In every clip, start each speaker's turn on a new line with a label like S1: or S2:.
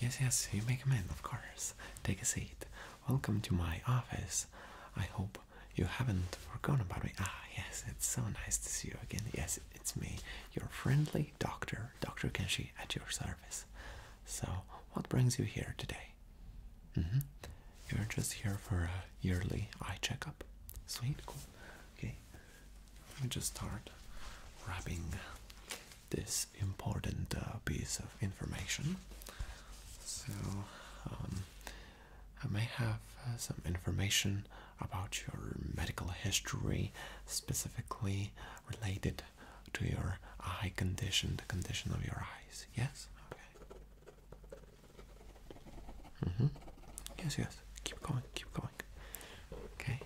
S1: Yes, yes, you make a man, of course. Take a seat. Welcome to my office. I hope you haven't forgotten about me. Ah, yes, it's so nice to see you again. Yes, it's me, your friendly doctor, Dr. Kenshi, at your service. So, what brings you here today? Mm-hmm. You're just here for a yearly eye checkup. Sweet, cool. Okay, let me just start wrapping this important uh, piece of information. So, um, I may have uh, some information about your medical history, specifically related to your eye condition, the condition of your eyes. Yes? Okay. Mm -hmm. Yes, yes. Keep going, keep going. Okay.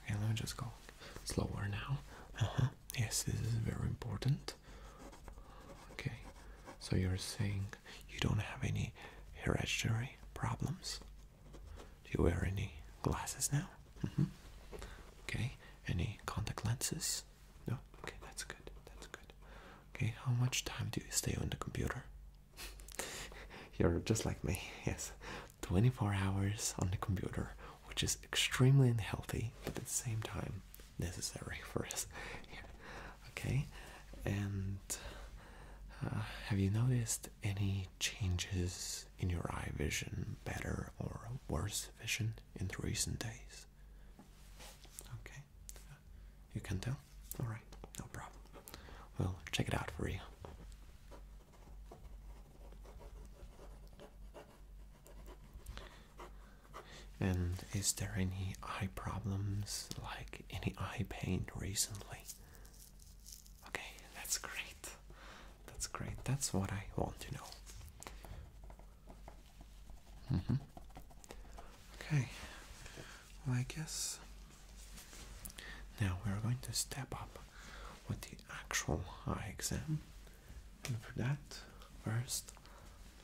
S1: Okay, let me just go slower now. Uh huh. Yes, this is very important. Okay. So you're saying you don't have any hereditary problems? Do you wear any glasses now? Mm -hmm. Okay. Any contact lenses? No. Okay, that's good. That's good. Okay. How much time do you stay on the computer? You're just like me. Yes. 24 hours on the computer, which is extremely unhealthy, but at the same time necessary for us. Okay. And uh, have you noticed any changes in your eye vision better or worse vision in the recent days? Okay, you can tell? Alright, no problem. We'll check it out for you. And is there any eye problems, like any eye pain recently? Okay, that's great. That's great. That's what I want to know. Mm -hmm. Okay, well, I guess now we're going to step up with the actual eye exam. And for that, first,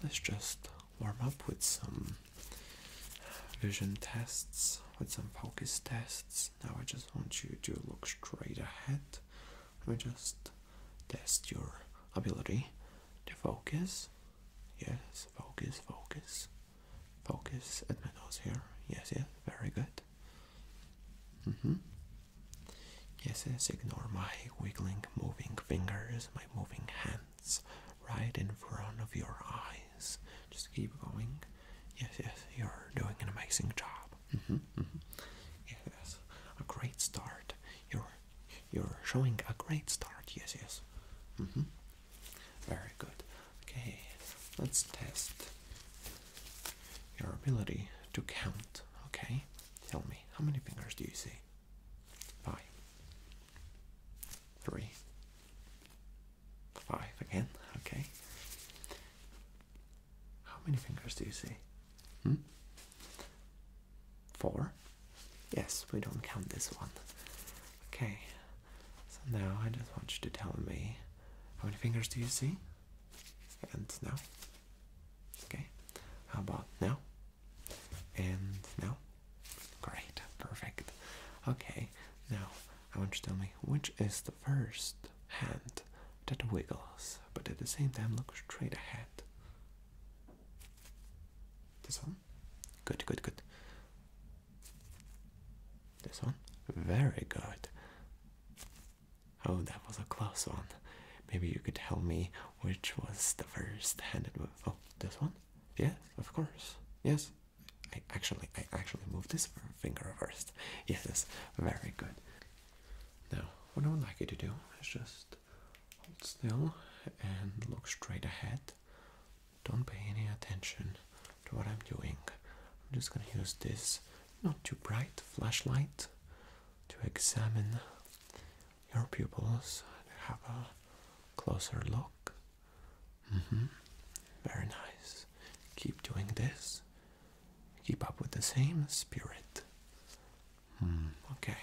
S1: let's just warm up with some vision tests, with some focus tests. Now I just want you to look straight ahead. Let me just test your ability to focus. Yes, focus, focus, focus at my nose here. Yes, yes, very good. Mm -hmm. Yes, yes, ignore my wiggling, moving fingers, my moving hands right in front of your eyes. Just keep going. Yes, yes, you're doing an amazing job. Mm-hmm, mm-hmm. Yes, a great start. You're you're showing a great start. Yes, yes. Mm-hmm. Very good. Okay, let's test your ability to count. Okay, tell me how many fingers do you see? Five. Three. Five again. Okay, how many fingers do you see? Hmm? Four? Yes, we don't count this one. Okay, so now I just want you to tell me how many fingers do you see? And now? Okay, how about now? And now? Great, perfect. Okay, now I want you to tell me which is the first hand that wiggles, but at the same time looks straight ahead. This one? Good, good, good. This one? Very good. Oh, that was a close one. Maybe you could tell me which was the first hand that Oh, this one? Yes, of course. Yes. I actually, I actually moved this finger reversed. Yes, very good. Now, what I would like you to do is just hold still and look straight ahead. Don't pay any attention to what I'm doing. I'm just going to use this not too bright flashlight to examine your pupils and have a closer look. Mm-hmm. Very nice. Keep doing this keep up with the same spirit. Hmm. Okay,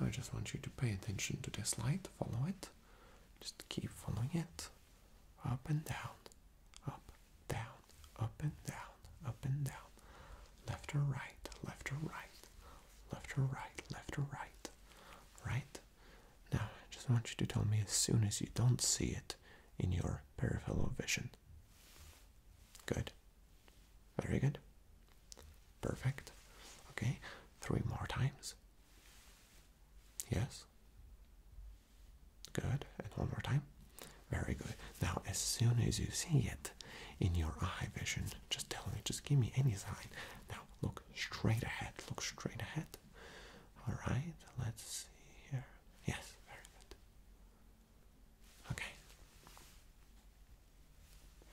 S1: I just want you to pay attention to this light, follow it, just keep following it up and down, up, down, up and down, up and down, left or right, left or right, left or right, left or right, right. Now, I just want you to tell me as soon as you don't see it, in your peripheral vision. Good. Very good. Perfect. Okay, three more times. Yes. Good. And one more time. Very good. Now, as soon as you see it in your eye vision, just tell me, just give me any sign. Now, look straight ahead. Look straight ahead. All right, let's see here. Yes, very good. Okay.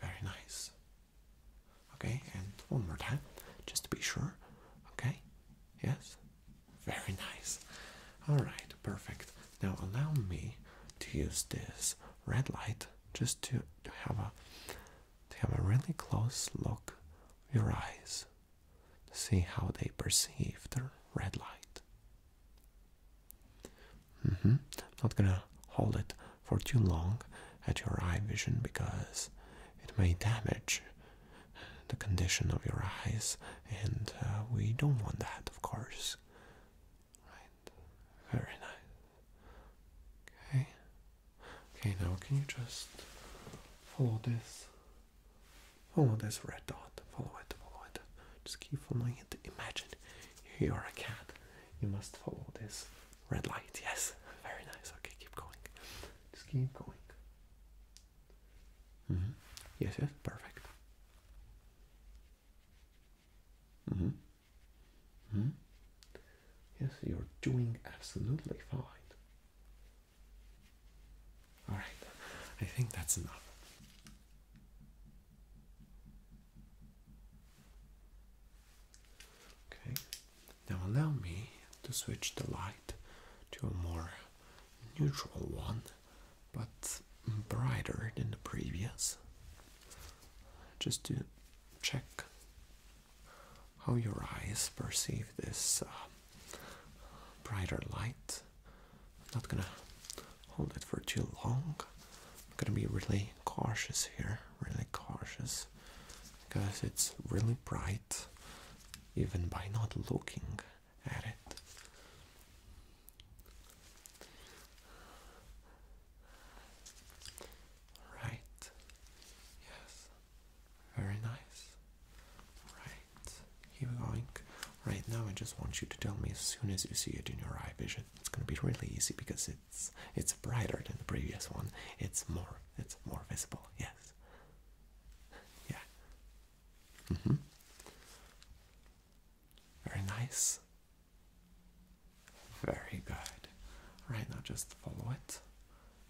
S1: Very nice. Okay, and one more time, just to be sure. Okay, yes, very nice. All right, perfect. Now allow me to use this red light just to, to have a to have a really close look with your eyes see how they perceive the red light. Mm-hmm. I'm not gonna hold it for too long at your eye vision because it may damage the condition of your eyes, and uh, we don't want that, of course. Right? Very nice. Okay. Okay, now can you just follow this Follow this red dot. Follow it, follow it. Just keep following it. Imagine you're a cat. You must follow this red light. Yes, very nice. Okay, keep going. Just keep going. Mm-hmm. Yes, yes, perfect. Mm-hmm. Mm-hmm. Yes, you're doing absolutely fine. All right, I think that's enough. Okay, now allow me to switch the light to a more neutral one, but brighter than the previous, just to check how your eyes perceive this uh, brighter light. I'm not gonna hold it for too long. I'm gonna be really cautious here, really cautious because it's really bright even by not looking at it. Right. Yes. Very nice. Right. Keep going. Right now, I just want you to tell me as soon as you see it in your eye vision. It's gonna be really easy because it's it's brighter than the previous one. It's more it's more visible. Yes. Yeah. Mhm. Very nice. Very good. Right now, just follow it.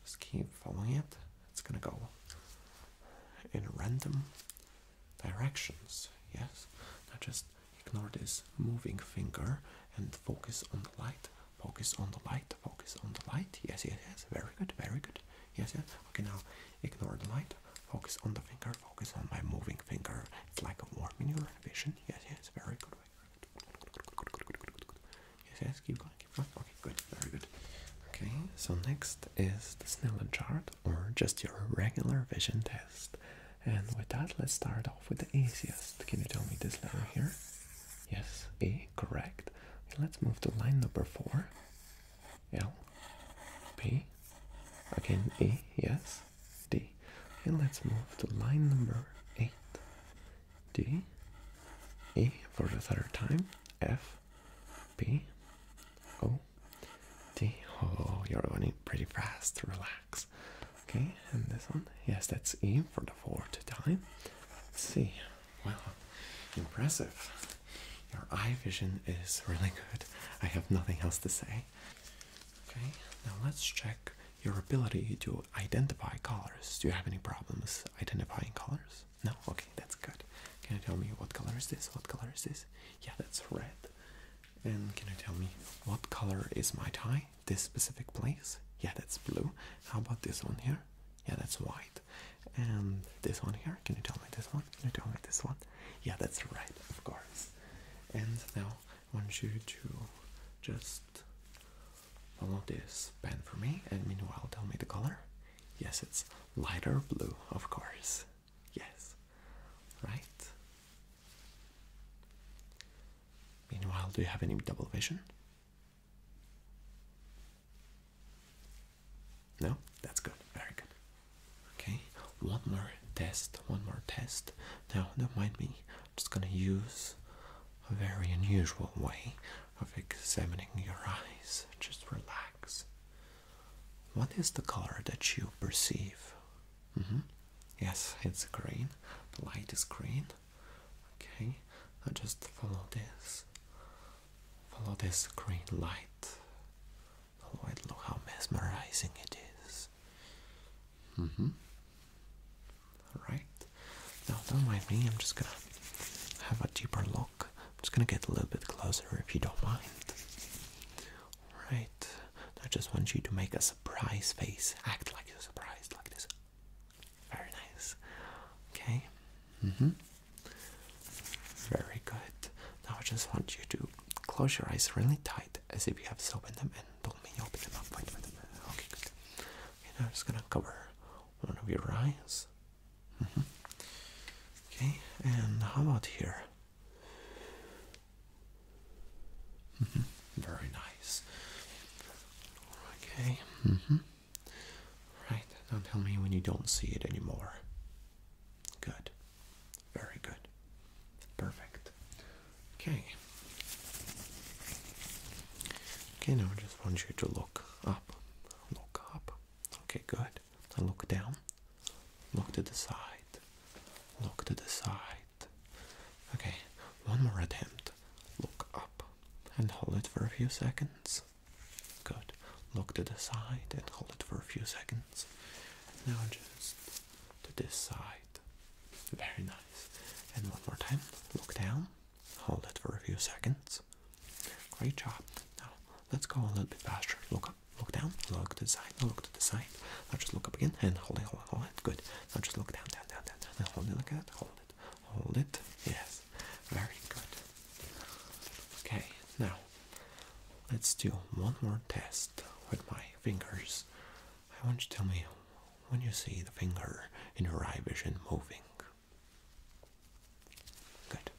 S1: Just keep following it. It's gonna go in random directions, yes? Now just ignore this moving finger and focus on the light, focus on the light, focus on the light. Yes, yes, yes, very good, very good. Yes, yes. Okay, now ignore the light, focus on the finger, focus on my moving finger. It's like a warm in your vision. Yes, yes, very good. Very good. Yes, keep going, keep going. Okay, good, very good. Okay, so next is the Snellen chart or just your regular vision test. And with that, let's start off with the easiest. Can you tell me this letter here? Yes, A, correct. let's move to line number four. L, B. again A, yes, D. And let's move to line number eight. D, E for the third time, F, B O D. Oh, you're running pretty fast. Relax. Okay, and this one. Yes, that's E for the fourth time. Let's see. impressive. Your eye vision is really good. I have nothing else to say. Okay, now let's check your ability to identify colors. Do you have any problems identifying colors? No? Okay, that's good. Can you tell me what color is this? What color is this? Yeah, that's red. And can you tell me what color is my tie? This specific place? Yeah, that's blue. How about this one here? Yeah, that's white. And this one here? Can you tell me this one? Can you tell me this one? Yeah, that's red, of course. And now I want you to just I this pen for me, and meanwhile, tell me the color. Yes, it's lighter blue, of course. Yes, right. Meanwhile, do you have any double vision? No, that's good. Very good. Okay, one more test. One more test. Now, don't mind me. I'm just gonna use a very unusual way of examining your eyes. Just relax. What is the color that you perceive? Mm-hmm. Yes, it's green. The light is green. Okay, now just follow this. Follow this green light. look how mesmerizing it is. Mm-hmm. Now, don't mind me, I'm just gonna have a deeper look. I'm just gonna get a little bit closer if you don't mind. Alright, I just want you to make a surprise face. Act like you're surprised, like this. Very nice. Okay? Mm hmm. Very good. Now, I just want you to close your eyes really tight as if you have soap in them and don't open them up. Wait, wait, wait. Okay, good. now I'm just gonna cover one of your eyes. Mm -hmm. Okay, and how about here? Mm -hmm. Very nice. Okay. Mm -hmm. Right. tell me when you don't see it anymore. Good. Very good. Perfect. Okay. Okay, now I just want you to look up Look up. Okay, good. look down. Look to the side. Look to the side. Okay, one more attempt. Look up and hold it for a few seconds. Good. Look to the side and hold it for a few seconds. Now just to this side. Very nice. And one more time. Look down. Hold it for a few seconds. Great job. Now let's go a little bit faster. Look up, look down, look to the side, look to the side. Now just look up again and hold it, hold it, hold it. Good. Now just look down, down, down, down, down. And hold it like that. Hold it. Hold it. Yes. Very good. Okay, now let's do one more test with my fingers. I want you to tell me when you see the finger in your eye vision moving. Good.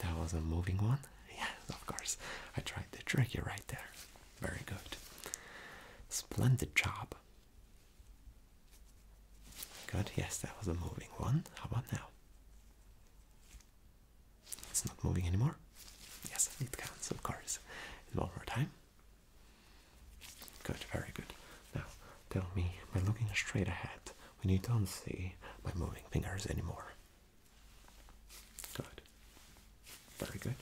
S1: That was a moving one? Yes, of course. I tried to trick you right there. Very good. Splendid job. Good, yes, that was a moving one. How about now? It's not moving anymore? Yes, it counts, of course. one more time. Good, very good. Now, tell me, by looking straight ahead, when you don't see my moving fingers anymore. Good. Very good.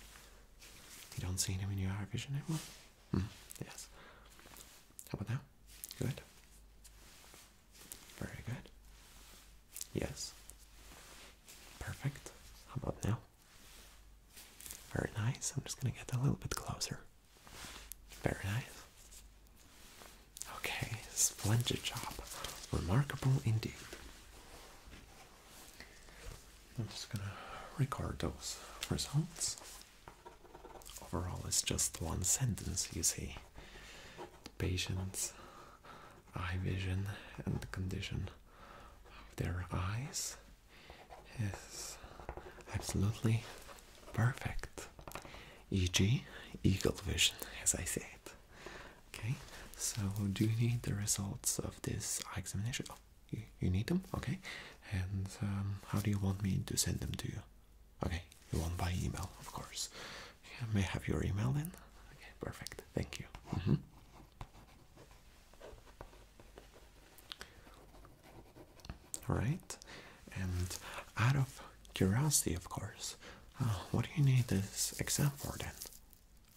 S1: You don't see them in your eye vision anymore? Hmm, yes. How about now? Good. Very good. Yes. Perfect. How about now? Very nice. I'm just going to get a little bit closer. Very nice. Okay, splendid job. Remarkable indeed. I'm just going to record those results. Overall, it's just one sentence, you see. The patient's eye vision and the condition of their eyes is absolutely perfect. E.g., eagle vision, as I say it. Okay, so do you need the results of this examination? Oh, you, you need them? Okay, and um, how do you want me to send them to you? Okay, you want by email, of course. Yeah, may have your email then? Okay, perfect. Thank you. Mm-hmm. Right? And out of curiosity, of course, uh, what do you need this exam for then?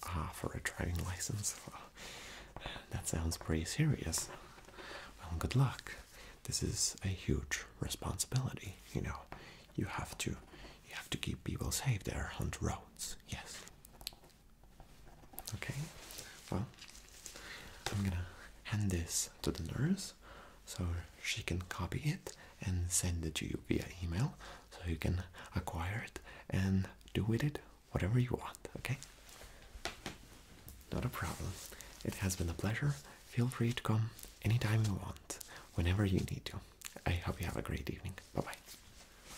S1: Ah, for a driving license. that sounds pretty serious. Well, good luck. This is a huge responsibility. You know, you have to, you have to keep people safe there on the roads. Yes. Okay, well, I'm gonna hand this to the nurse so she can copy it and send it to you via email so you can acquire it and do with it whatever you want, okay? Not a problem. It has been a pleasure. Feel free to come anytime you want, whenever you need to. I hope you have a great evening. Bye bye.